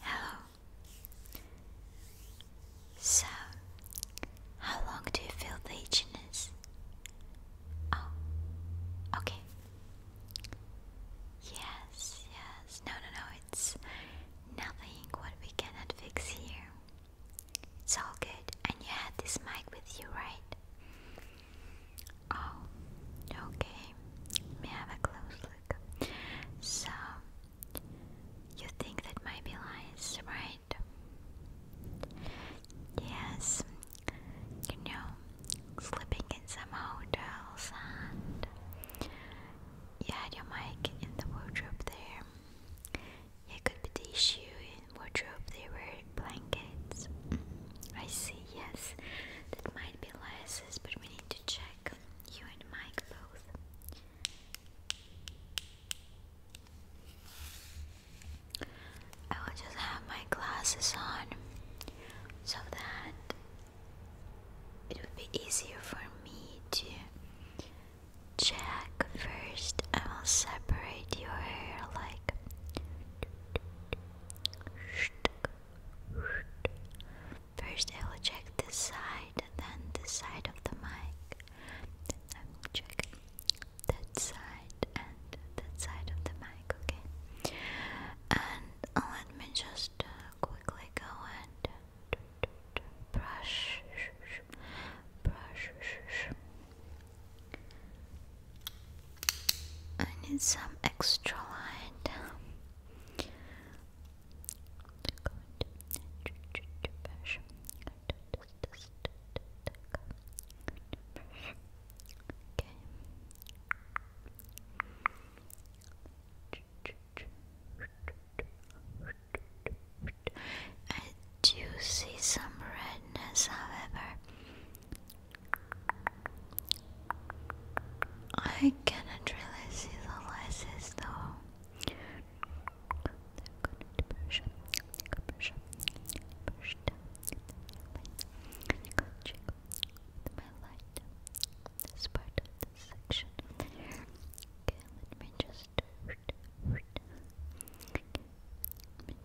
Hello. So, how long do you feel the itchiness? Oh, okay. Yes, yes. No, no, no. It's nothing what we cannot fix here. It's all good. And you had this mic with you, right? Oh, okay. May I have a close so, you think that might be lies, right? Yes, you know, sleeping in some hotels and you had your mic in the wardrobe there. It could be the issue in wardrobe, they were blankets. Mm, I see, yes, that might be lies, but we need to check. You and Mike both. I will just have my glasses on so that it would be easier for me to check. First, I will separate your hair like. First, I will check this side, then this side of the mic. I will check that side and that side of the mic, okay? And let me just uh, quickly go and brush, brush. I need some extra light. I do see some redness, however. I cannot really see the laces though. push up, push up, push down. Check with my light. This part of this section Okay, let me just.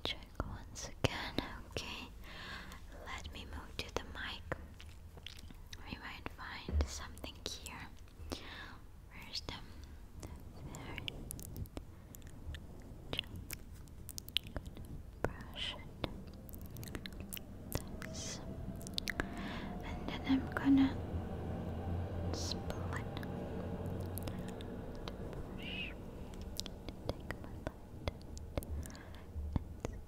check once again. Okay, let me move to the mic we might find something here. Where's the fairy? Brush it. and then I'm gonna split. Brush. Take my light and split.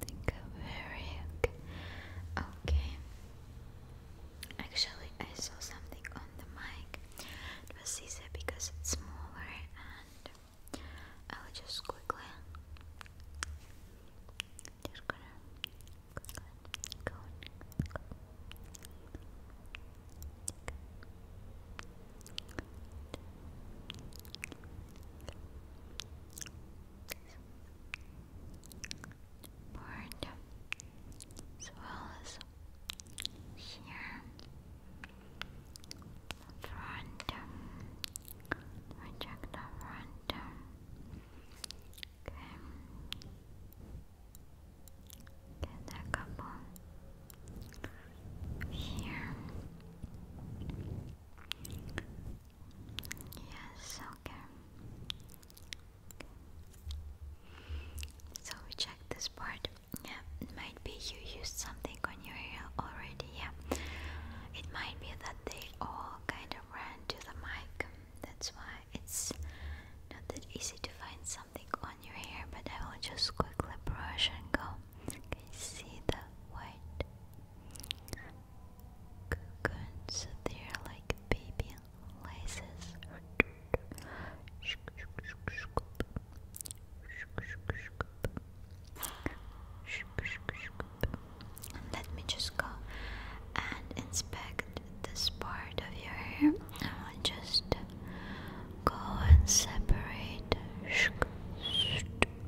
think I'm very okay. okay. Actually, I saw something on the mic. It was easier because it's smaller, and I'll just quickly board as well as here the front the front okay get a couple here Yes, okay. So we check this part. Yeah, it might be you used something on your hair already. Yeah, it might be that they all kind of ran to the mic. That's why it's not that easy to find something on your hair. But I will just quickly brush and go. Can see the white cocoons? they like baby laces. let me just go and inspect this part of your hair. I will just go and separate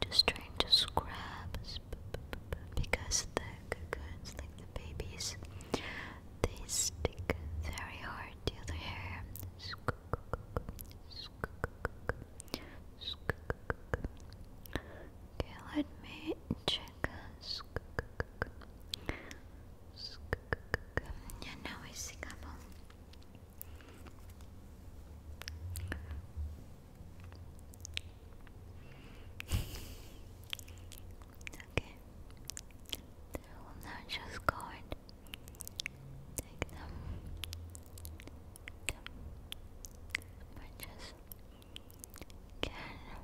just trying to scrub because the cocoons, like the babies, they stick very hard to the hair. Okay, let me check. Yeah, now I see couple. Okay. I will now just go and take them, them branches again. Okay.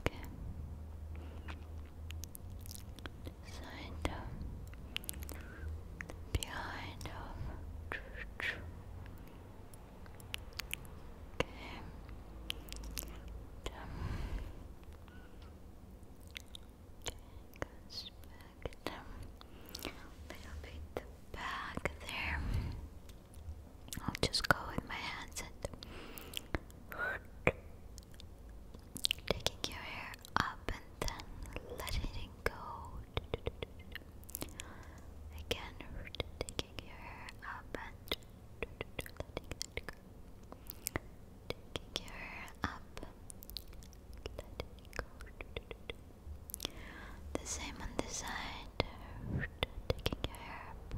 Okay. Side of behind of Okay. Dumb. Good. A little bit back there. I'll just go with my hands and taking your hair up and then letting it go. Again, taking your hair up and Taking your hair up the same on this side, taking your hair up,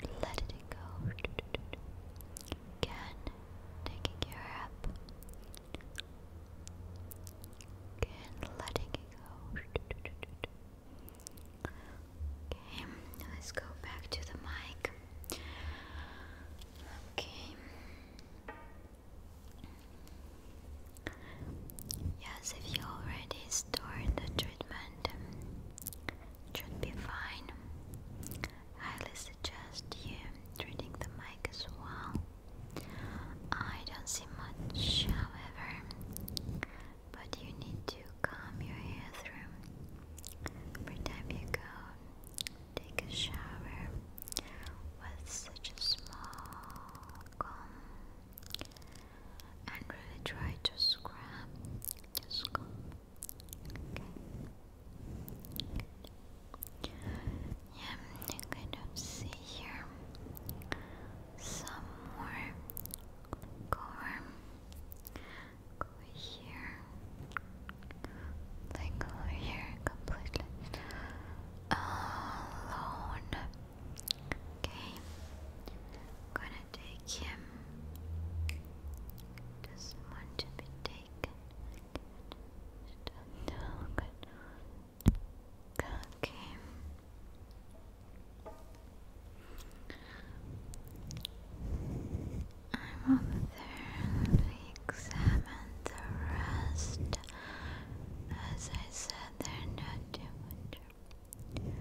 it go. Again, taking your hair again, letting it go. Okay, let's go back to the mic. Okay. Yes, if you already started the treatment, should be fine. highly suggest you treating the mic as well. I don't see much, however, but you need to calm your hair through. Every time you go, take a shower with such a small comb and really try to scrap the scum. Yeah, you kind of see here some more corn go here. Like over here completely alone. Okay, I'm gonna take him. Doesn't want to be taken. No, good. Okay. I'm over there. examine the rest. As I said, there's are not too much.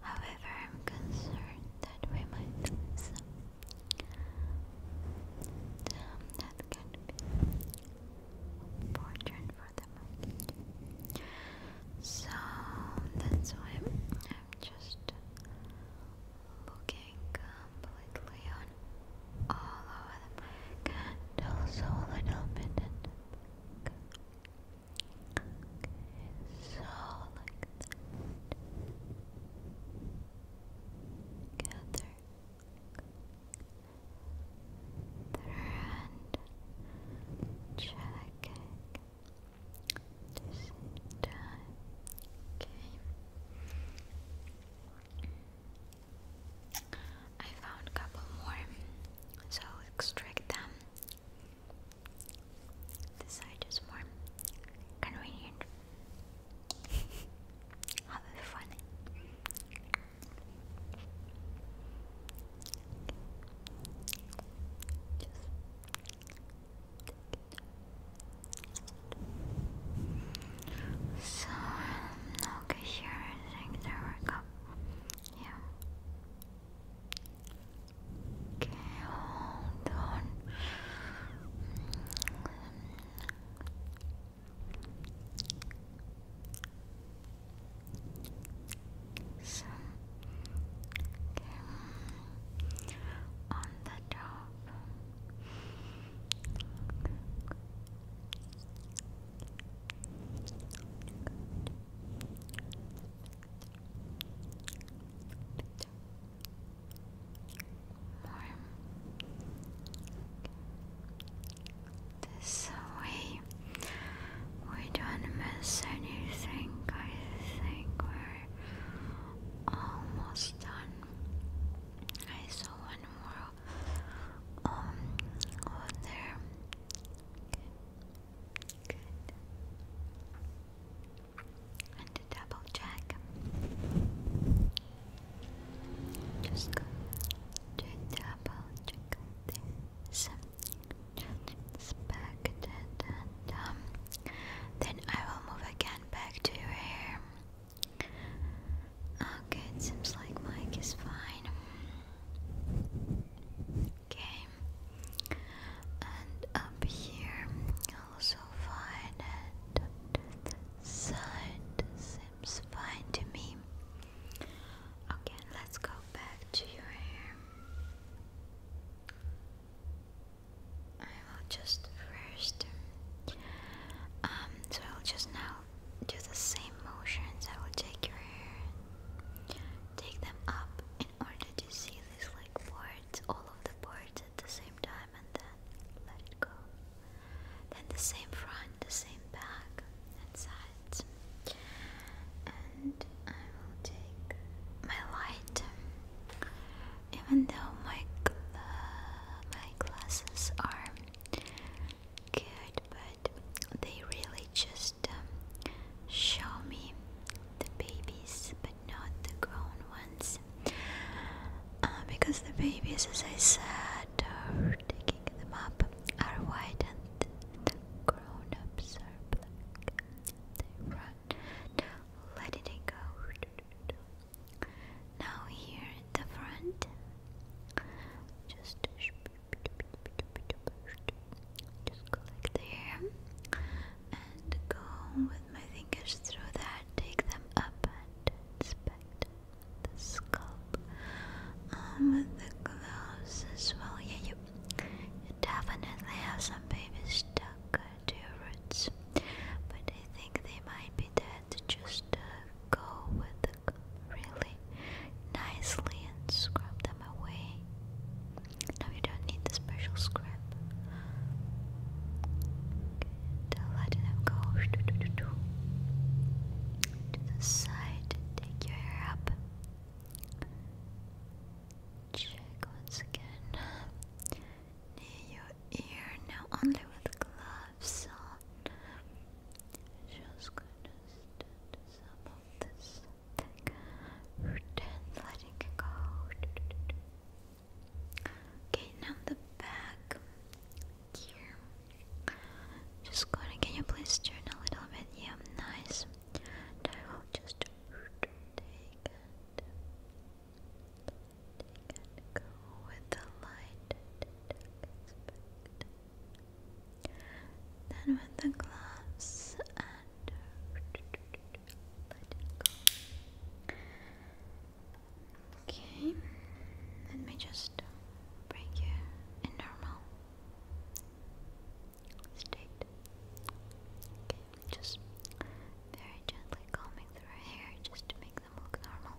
However, I'm concerned that we might that can be important for the market. So that's why I'm just looking completely on all over the mic and also a little bit in the back. Okay, so like that. Gather there and checking the Okay. I found a couple more, so extract them. This side is more convenient. Have fun. So, okay, here I think there we go. Yeah. Okay, hold on. So, okay. on the top. More. This way. We don't miss anything. I think we're almost done. I saw one more um over there. Good. to double check. Just go to double check this inspect it and um then I will move again back to your hair. Okay, oh, it seems like Mike is fine. Okay, and up here also fine, and up seems fine to me. Okay, let's go back to your hair. I will just first. Um, so I'll just now do the same motions. I will take your hair and take them up in order to see these like boards, all of the boards at the same time, and then let it go. Then the same front, the same back, and sides. And I will take my light, even though my my glasses are good, but they really just um, show me the babies but not the grown ones uh, because the babies as I said are taking them up are white and the grown ups are black they run let it go now here in the front just just collect the hair and go with my fingers through that. Take them up and inspect the scalp um, with the gloves as well. Yeah, you, definitely have some babies stuck to your roots, but I think they might be dead. Just uh, go with really nicely and scrub them away. No, you don't need the special scrub. Okay, letting them go to the side. Take your hair up. Check once again near your ear. Now only with gloves on. Just gonna stand some of this thick root and go. Okay, now the back here. Just gonna, can you please turn a little bit? Yeah, nice. I'll just take and, take and go with the light. Then with the gloves and Okay, let me just break you in normal state. Okay, just very gently combing through hair just to make them look normal.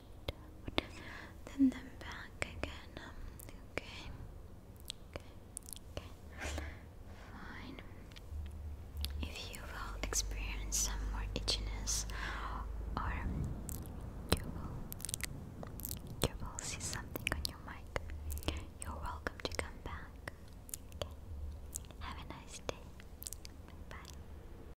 then then back again. Um, okay. Okay. Fine. If you will experience some more itchiness, or you will, you will see something on your mic, you're welcome to come back. Have a nice day. Bye.